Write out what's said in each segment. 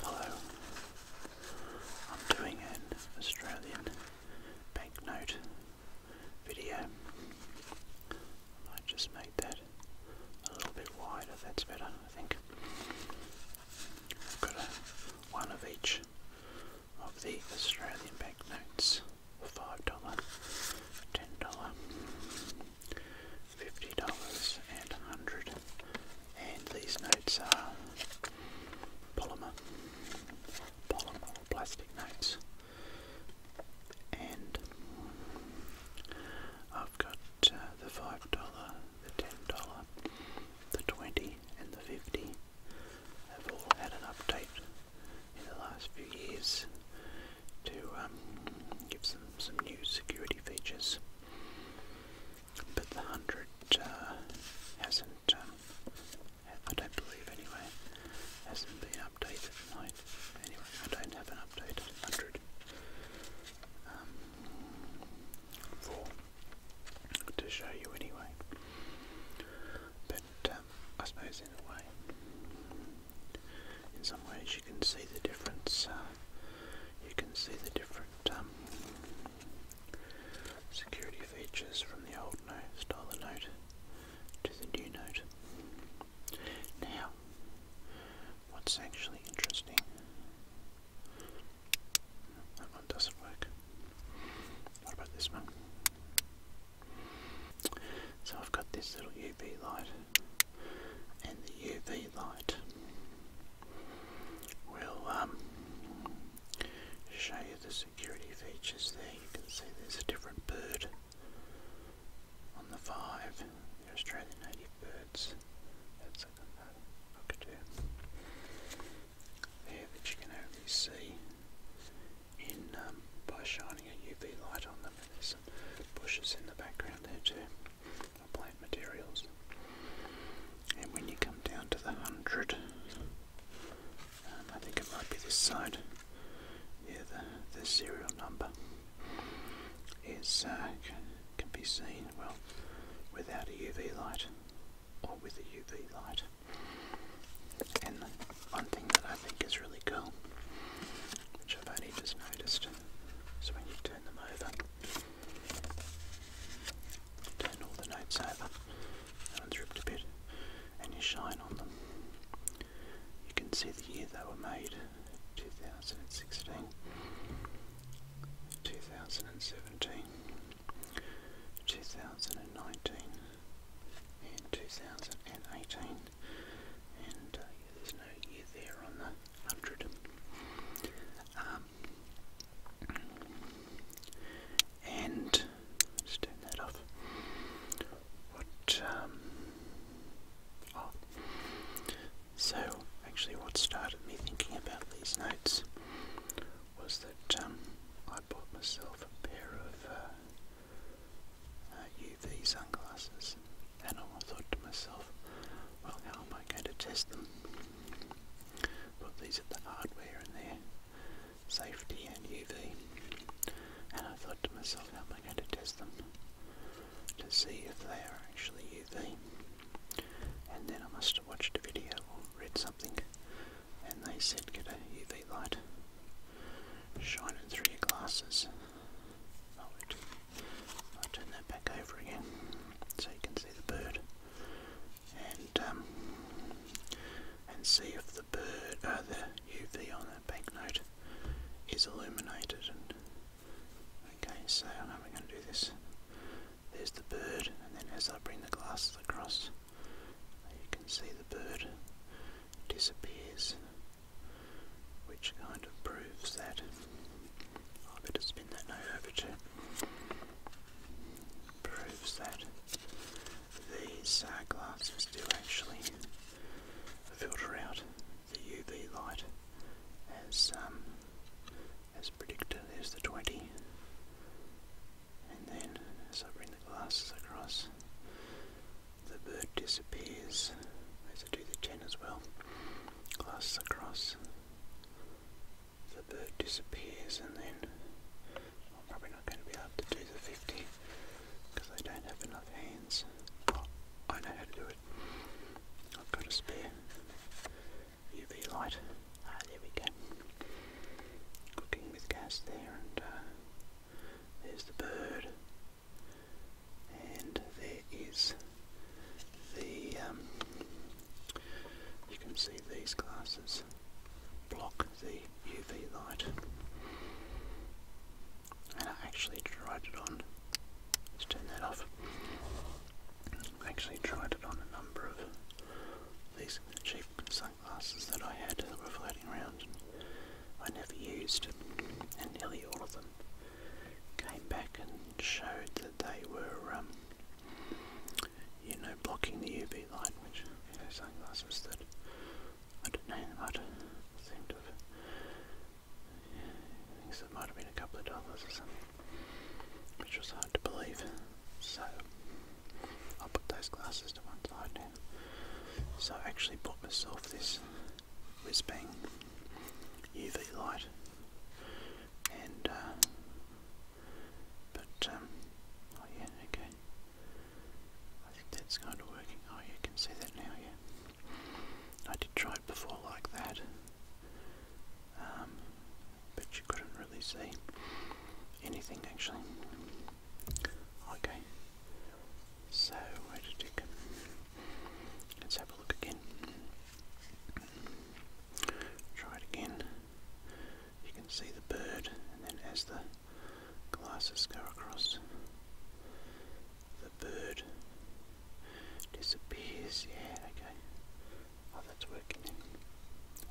Hello. I'm doing an Australian banknote video. might just make that a little bit wider, that's better, I think. got one of each of the Australian banknotes. $5, $10, fifty dollars and a hundred. And these notes are polymer, polymer plastic notes. And I've got uh, the five dollar, the ten dollar, the twenty, and the fifty. Have all had an update in the last few years to um, give some, some new security features. But the 100 uh, hasn't, um, I don't believe anyway, hasn't been updated. tonight. anyway, I don't have an updated 100 um, to show you anyway. But I suppose in a way in some ways you can see the difference. Uh, you can see the different um, security features from the old note, style of note to the new note. Now, what's actually interesting? That one doesn't work. What about this one? So I've got this little UV light and the UV light. We'll um, show you the security features there. You can see there's a different bird on the five. Australian native birds. That's a cockatoo. There that you can only see in um, by shining a UV light on there's some bushes in the background there too, plant materials. And when you come down to the hundred, um, I think it might be this side. Yeah, the the serial number is uh, can be seen well without a UV light or with a UV light. And one thing that I think is really cool, which I've only just noticed, so when you turn them over, turn all the notes over, that one's ripped a bit, and you shine on them. You can see the year they were made, 2016, 2017, 2019, and 2018 and uh, there's no year there on the 100. Um, and just turn that off. What, um, oh, so actually, what started me thinking about these notes was that um, I bought myself a pair of uh, UV uh, sunglasses, and I thought to myself, well, how am I going to test them? Put these at the hardware in their safety and UV, and I thought to myself, how am I going to test them to see if they are actually UV? And then I must have watched a video or read something, and they said get a UV light shining through your glasses I'll turn that back over again so you can see the bird and um, and see if the bird, uh, the UV on that banknote is illuminated. okay, so I know we going to do this. There's the bird, and then as I bring the glasses across, you can see the bird disappears, which kind of proves that. I oh, better spin that note over to. Proves that these uh, glasses do actually filter out the UV light as um, as predicted. There's the 20, and then as I bring the glasses across, the bird disappears as I do the 10 as well glass across the bird disappears and then I'm probably not going to be able to do the 50 because I don't have enough hands I know how to do it I've got a spare UV light ah, there we go cooking with gas there uh, there's the bird. And there is the, um, you can see these glasses block the UV light. And I actually tried it on. Let's turn that off. I actually tried it on a number of these cheap sunglasses that I had were floating around and I never used, and nearly all of them came back and showed that they were, um, you know, blocking the UV light, which, you know, sunglasses that I don't know, they might seem to have, I think it might have been a couple of dollars or something, which was hard to believe. So, I'll put those glasses to one side So I actually bought myself this Whizbang UV light, and uh, but um, oh yeah, okay. I that's kind of working. Oh, you can see that now, yeah. I did try it before like that, um, but you couldn't really see anything actually. Okay, so where did it come? Let's have a look again. Try it again. You can see the bird, and then as the glasses go across, the bird disappears. Yeah, okay. Oh, that's working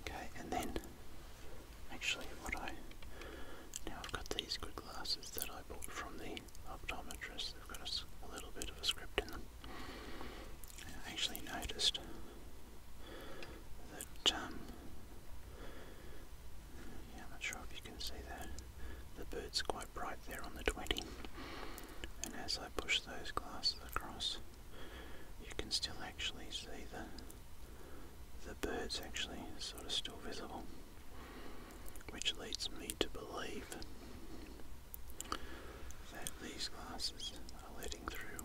Okay, and then Actually, what I now I've got these good glasses that I bought from the optometrist. They've got a, little bit of a script in them. actually noticed that um, yeah, not sure if you can see that the bird's quite bright there on the 20. And as I push those glasses across, you can still actually see the the bird's actually sort of still visible, which leads me to believe that these glasses are letting through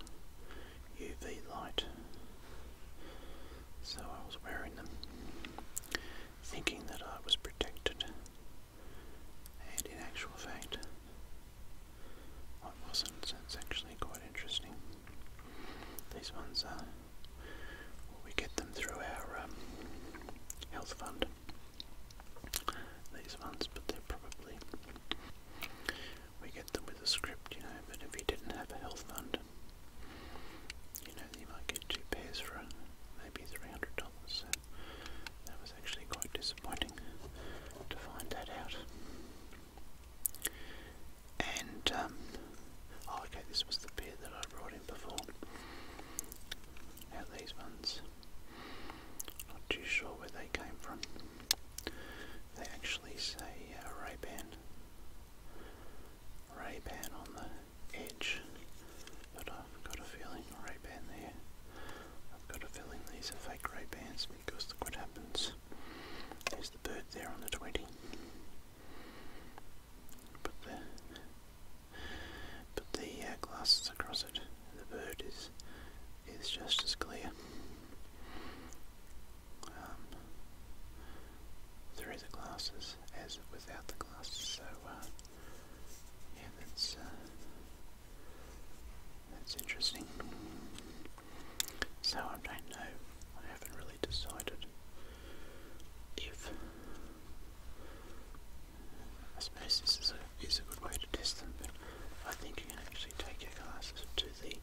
UV light. So I was wearing them, thinking that I was protected, and in actual fact, I wasn't. it's actually quite interesting. These ones are, we get them through our um, health fund. These ones, but they're probably, we get them with a script, you know, but if you didn't have a health fund, you know, you might get two pairs for maybe $300, so that was actually quite disappointing to find that out. And, um, oh, okay, this was the beer that I brought in before. Now, these ones, not too sure where they came from. They actually say uh, Ray Ban. Ray Ban on the edge, but I've got a feeling Ray Ban there. I've got a feeling these are fake Ray Bans because look what happens. There's the bird there on the 20. But the, put the uh, glasses across it. The bird is, is just as clear. Um, through the glasses as without the glasses. So, uh, yeah, that's, uh, that's interesting. So I don't know. I haven't really decided if. I suppose this is a is a good way to test them, but I think you can actually take your glasses to the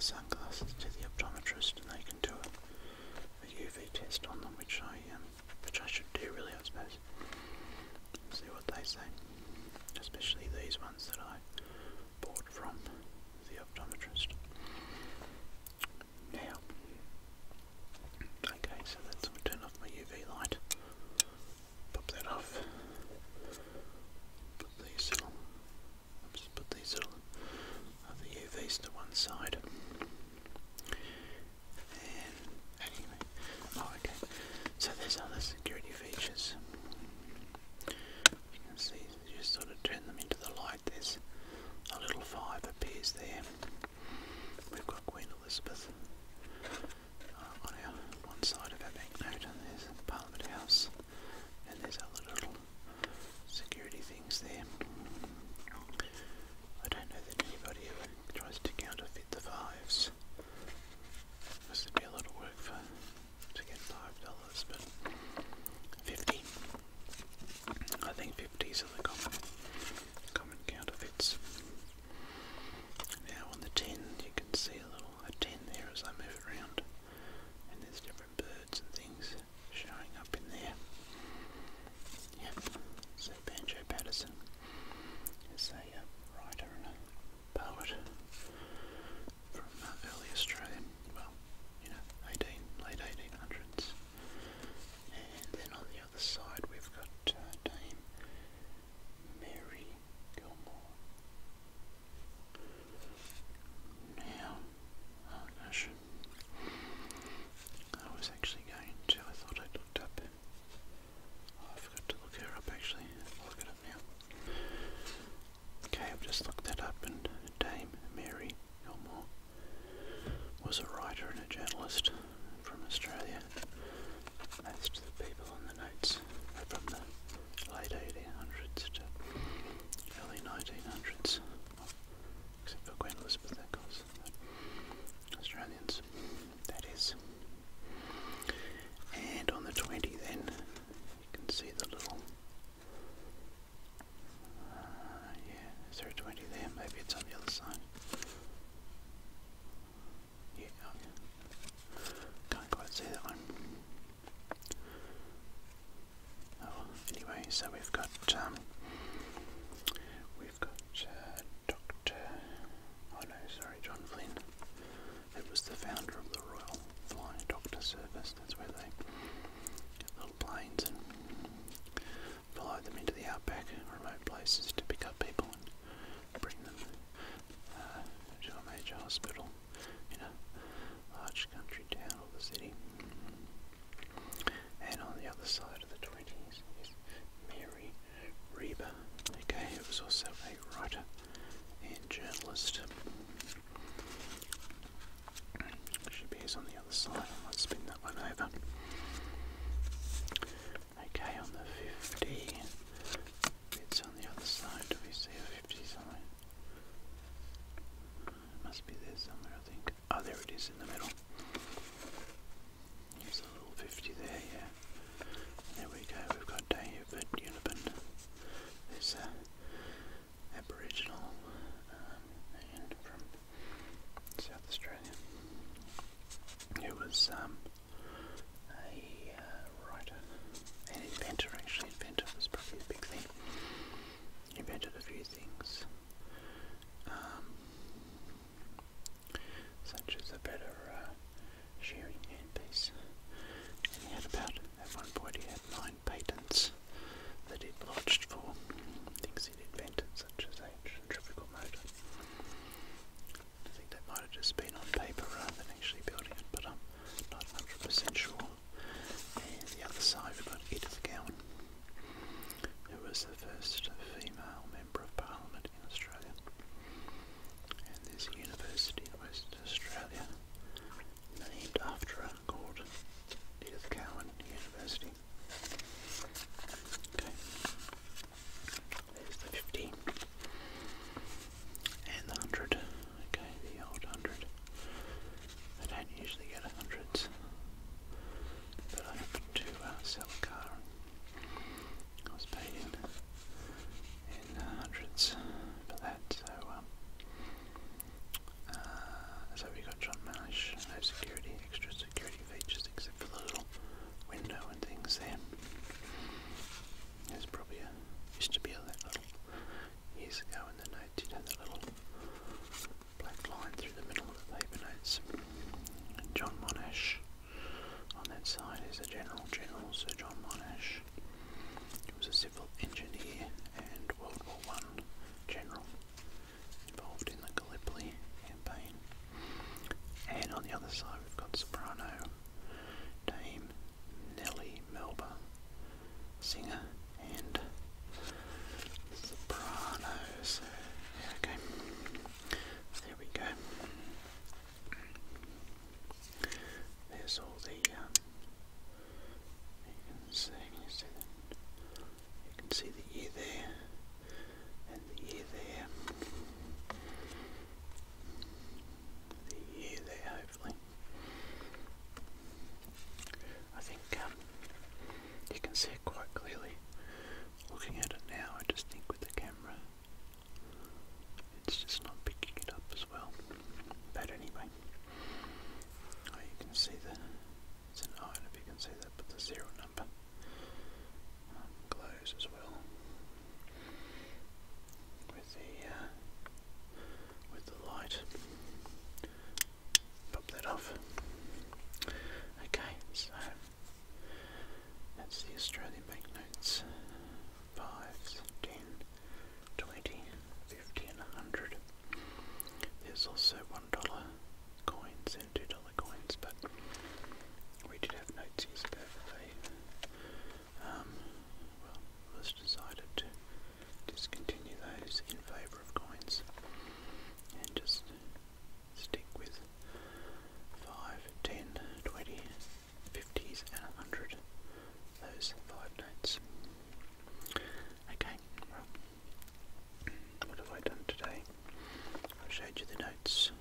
sunglasses to the optometrist, and they can do a, UV test on them, which I um, which I should do really, I suppose. See what they say, especially these ones that I bought from the optometrist. Now, okay, so that's i turn off my UV light. Pop that off. Put these little, oops, put these little other UVs to one side. oh okay. So there's other security features. You can see just sort of turn them into the light, there's a little five appears there. We've got Queen Elizabeth uh, on our one side of our banknote, and there's Parliament House, and there's other little security things there. I don't know that anybody ever tries to counterfeit the fives. This be a lot work for to get five dollars, but fifty. I think fifties are the common common counterfeits. Now on the tin, you can see a little a tin there as I move it around, and there's different birds and things showing up in there. Yep. So Banjo Patterson is a uh, writer powered from early Australian, well, you know, 18, late 1800s. And then on the other side we've got uh, Dame Mary Gilmore. Now, oh gosh, I was actually going to, I thought i looked up Oh, I forgot to look her up actually. look it up now. Okay, I've just looked that up and Dame Mary Elmore was a writer and a journalist from Australia. Most of the people on the notes are from the late 1800s to early 1900s, except for Queen Elizabeth, of course. Australians, that is. And on the 20 then, you can see the little, uh, yeah, is there a 20 there? Maybe it's on the other side. Yeah, Can't quite see that one. Oh, anyway, so we've got, um, we've got uh, Dr. Oh no, sorry, John Flynn. It was the founder of the Royal Flying Doctor Service. That's where they little planes and fly them into the outback, remote places to pick up people and bring them uh, to a major hospital in a large country town or the city. And on the other side of the 20s is Mary Reber. Okay, he was also a writer and journalist. Should be on the other side. I might spin that one over. Okay, on the 50. It's on the other side. Do we see a 50 somewhere? must be there somewhere, I think. Oh, there it is in the middle. There's a little 50 there, yeah. There we go, we've got David Unibin, this uh, Aboriginal um, from South Australia, who was um, a uh, writer, an inventor actually, inventor was probably the big thing. Invented a few things. Um, such as a better uh, shearing handpiece. And he had about, at one point he had nine patents that he'd lodged for things he'd invented, such as a centrifugal motor. I think that might have just been on paper rather than actually building it, but I'm not 100% sure. And the other side, we've got Edith Cowan, who was the first female Member of Parliament in Australia. And there's university in Western Australia named after her called Edith Cowan University. Okay. There's the 50 and the 100. Okay, the old 100. I don't usually get 100s, but I have uh, sell car I was paid in, uh, hundreds for that, um, uh, so we got John Marsh, no security, extra security features except for the little window and things there. There's probably used to be a little, years ago in the notes, you know, the little black line through the middle of the paper notes. John Monash on that side is a General General Sir John Monash. He was a civil engineer and World War One general involved in the Gallipoli campaign. And on the other side we've got soprano Dame Nellie Melba, singer and soprano. okay. There we go. There's all the, um, you can see, the ear there, and the ear there, the ear there hopefully. I think um, you can see quite clearly. Looking at it now, I just think with the camera, it's just not picking it up as well. But anyway, oh, you can see the, it's an iron if you can see that, but the zero number um, as well with the, uh, with the light. Pop that off. Okay, so that's the Australian banknotes. 5, 10, 20, 50 100. There's also $1 coins and $2 coins, but we did have notes years ago um, well, it was decided to discontinue those in favour of coins and just stick with 5, 10, 20, 50s and 100. Those five notes. Okay, what have I done today? I've showed you the notes.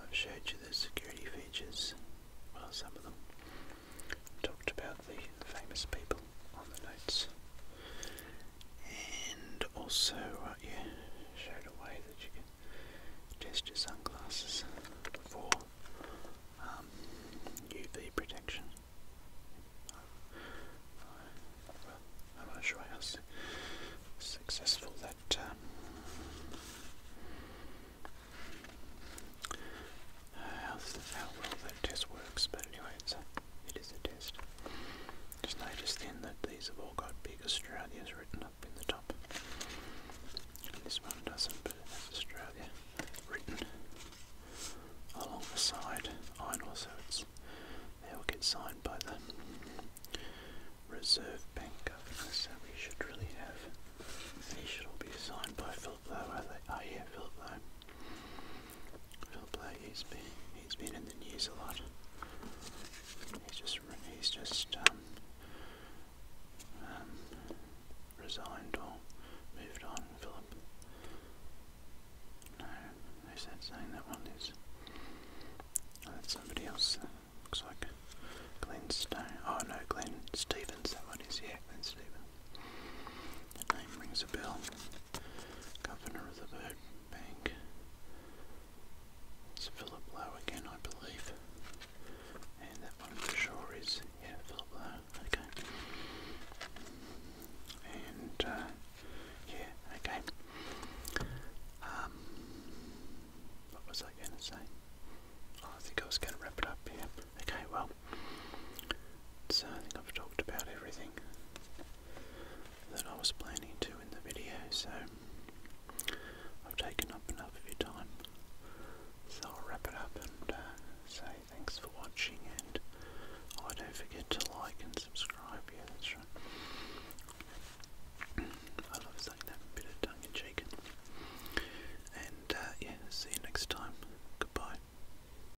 I've showed you the security features, well some of them. talked about the famous people on the notes and also uh, showed a way that you can test your sunglasses for UV um, protection. I, am not sure how successful that um, how, well that test works, but anyway, it is a test. Just notice then that these have all got big Australia's written up in the top. this one doesn't, but it has Australia written along the side. I know, so it's, they will get signed by the Reserve Bank governor, so we should really have, these should all be signed by Philip Lowe, are they? Oh yeah, Philip Lowe. Phil Blake, he's been, he's been in the news a lot. He's just, he's just um, um, resigned or moved on, Philip. No, who's that saying that one is? Oh, that's somebody else. looks like Glenn Oh no, Glenn Stevens, that one is, yeah, Glenn Stevens. That name rings a bell. Governor of the Bank. It's Philip Lowe again, I believe. And that one for sure is, yeah, Philip Lowe, okay. And, uh, yeah, okay. Um, what was I going to say? Oh, I think I was going to wrap it up here. Okay, well, so I think I've talked about everything that I was planning to in the video, so I've taken up enough of your time. So I'll wrap it up and uh, say thanks for watching and oh, don't forget to like and subscribe, yeah that's right. I love that bit of tongue in cheek. And uh, yeah, see you next time. Goodbye.